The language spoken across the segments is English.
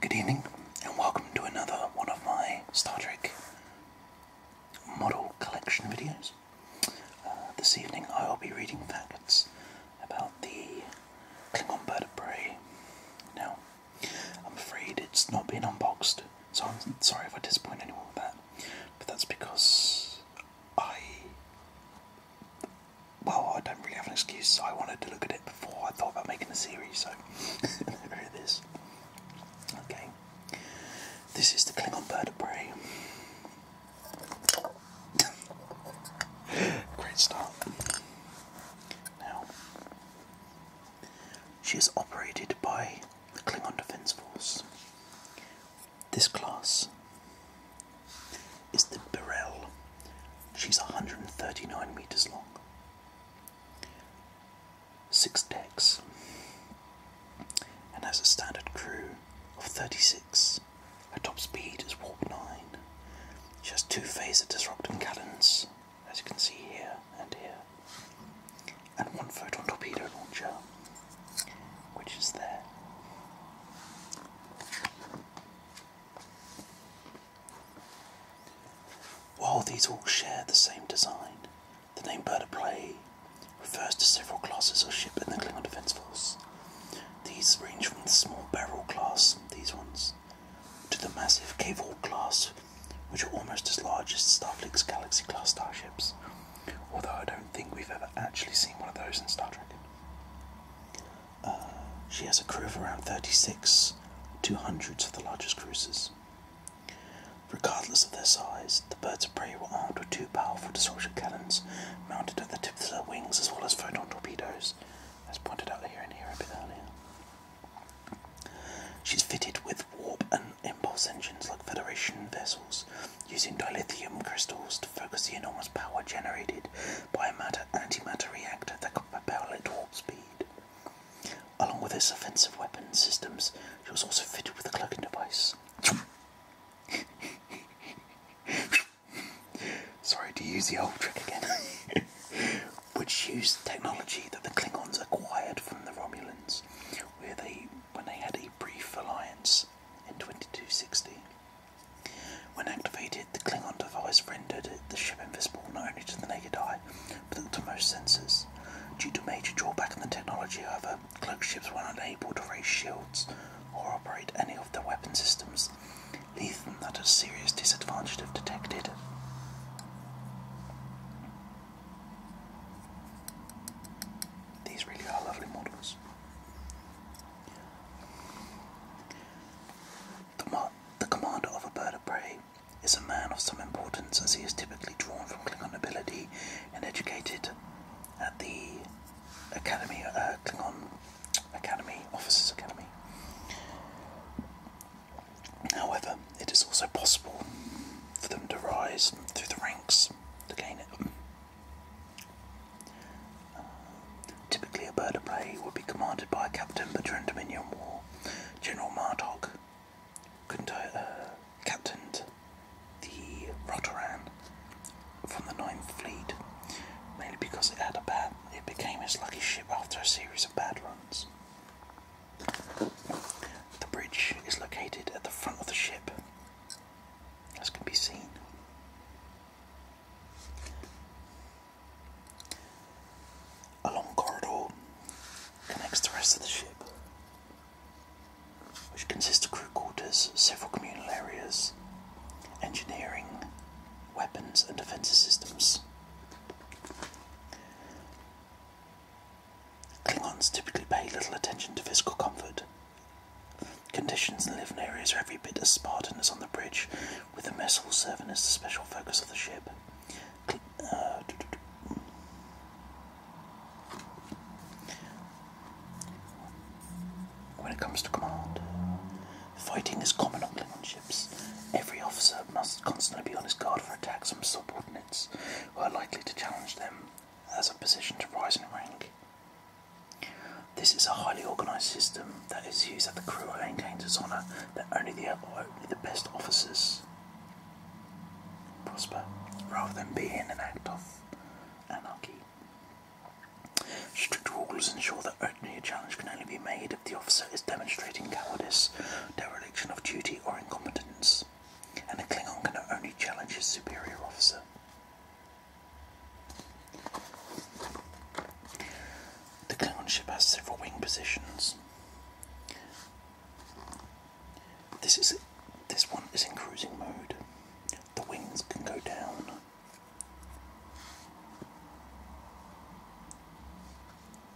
Good evening, and welcome to another one of my Star Trek model collection videos. Uh, this evening I will be reading facts about the Klingon Bird of Prey. Now, I'm afraid it's not been unboxed, so I'm sorry if I disappoint anyone with that, but that's because I well, I don't really have an excuse. So I wanted to look at it before I thought about making a series, so there it is. Okay, this is the Klingon bird of prey. Great start. Now, she is operated by the Klingon Defence Force, this class is the Burrell. She's 139 meters long, six decks, and has a standard crew of 36. Her top speed is warp 9. She has two phaser Disruptor cannons, as you can see here and here and one photon torpedo launcher, which is there. While these all share the same design, the name Bird of Prey refers to several classes of ship in the Klingon Defense Force. These range from the small barrel class, these ones, to the massive Cavall class, which are almost as large as Starfleet's Galaxy class starships. Although I don't think we've ever actually seen one of those in Star Trek. Uh, she has a crew of around 36, two hundreds of the largest cruisers. Regardless of their size, the birds of prey were armed with two powerful distortion cannons mounted at the tips of their wings as well as photon torpedoes, as pointed out here and here a bit earlier. She's fitted with warp and impulse engines like Federation vessels using dilithium crystals to focus the enormous power generated by a matter antimatter reactor that could propel at warp speed. Along with its offensive weapon systems, she was also fitted with a cloaking device. Sorry to use the old trick again. Which used technology that the Klingons acquired from the Romulans, where they when they had a brief alliance in 2260. When activated, the Klingon device rendered the ship invisible not only to the naked eye, but to most sensors. Due to a major drawback in the technology, however, cloaked ships were unable to raise shields or operate any of their weapon systems, leaving them at a serious disadvantage if detected. These really are lovely models. The, the commander of a bird of prey is a man of some importance as he is typically drawn from Klingon nobility and educated at the Academy, uh, Klingon Academy, Officers Academy. However, it is also possible for them to rise through the ranks to gain it. Uh, typically, a bird of prey would be commanded by a captain, but during Dominion War, General Martok uh, captained the Rotoran from the Ninth Fleet, mainly because it had a bad. It became his lucky ship after a series of bad runs. The bridge is located at the front of the ship, as can be seen. A long corridor connects the rest of the ship, which consists of crew quarters, several communal areas, engineering, weapons, and defensive systems. Klingons typically pay little attention to physical comfort. Conditions in living areas are every bit as Spartan as on the bridge, with the mess hall serving as the special focus of the ship. Uh, when it comes to command, fighting is common on Klingon Every officer must constantly be on his guard for attacks from subordinates who are likely to challenge them as a position to rise in rank. This is a highly organised system that is used at the crew maintains its honour that only the, only the best officers prosper, rather than being an act of anarchy. Strict rules ensure that only a challenge can only be made if the officer is demonstrating cowardice, of duty or incompetence, and a Klingon can only challenge his superior officer. The Klingon ship has several wing positions. This is this one is in cruising mode. The wings can go down.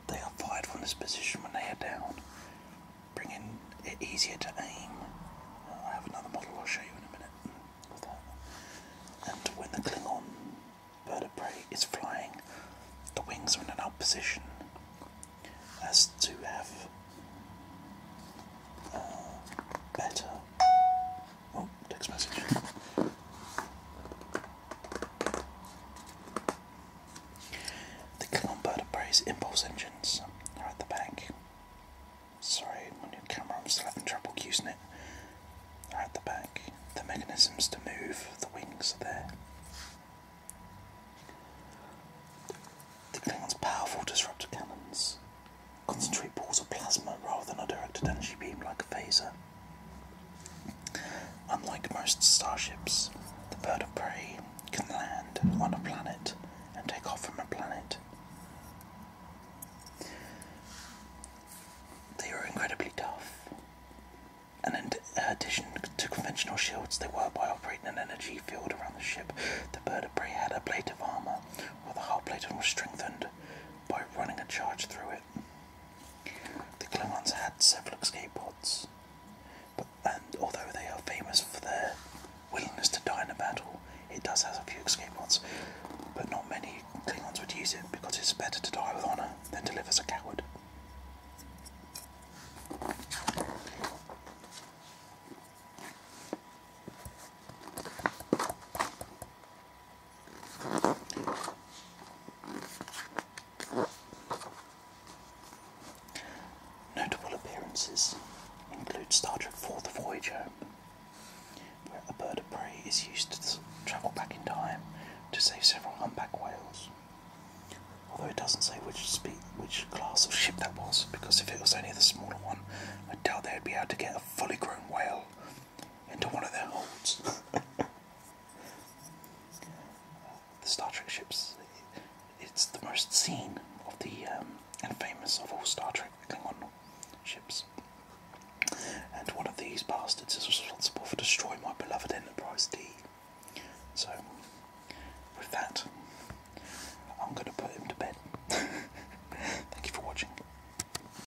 They are fired from this position when they are down, bringing it easier to aim. Uh, I have another model I'll show you in a minute And when the Klingon bird of prey is flying, the wings are in an up position S2F. Uh, better. Oh, text message. The Columba Brace impulse engines are at the back. Sorry, my new camera, I'm having trouble using it. Are at the back. The mechanisms to move the wings are there. The Klingons' powerful disruptor cannons concentrate balls of plasma rather than a directed energy beam like a phaser. Unlike most starships, the bird of prey can land on a planet and take off from a planet. They were incredibly tough, and in addition to conventional shields they were by operating an energy field around the ship. The bird of prey had a plate of armour, while the hull plate was strengthened by running a charge through it. The Klingons had several escape pods, but, and although they are famous for their willingness to die in a battle, it does have a few escape pods, but not many Klingons would use it because it's better to die with honour than to live as a coward. Notable appearances include Star Trek IV The Voyager, where a bird of prey is used to travel back in time to save several humpback whales. Although it doesn't say which speed, which class of ship that was, because if it was only the smaller one, I doubt they'd be able to get a fully grown whale into one of their holds. the Star Trek ships, it's the most seen of the um, and famous of all Star Trek Klingon ships. And one of these bastards is responsible for destroying my beloved Enterprise D. So, with that, I'm going to put him to bed. Thank you for watching.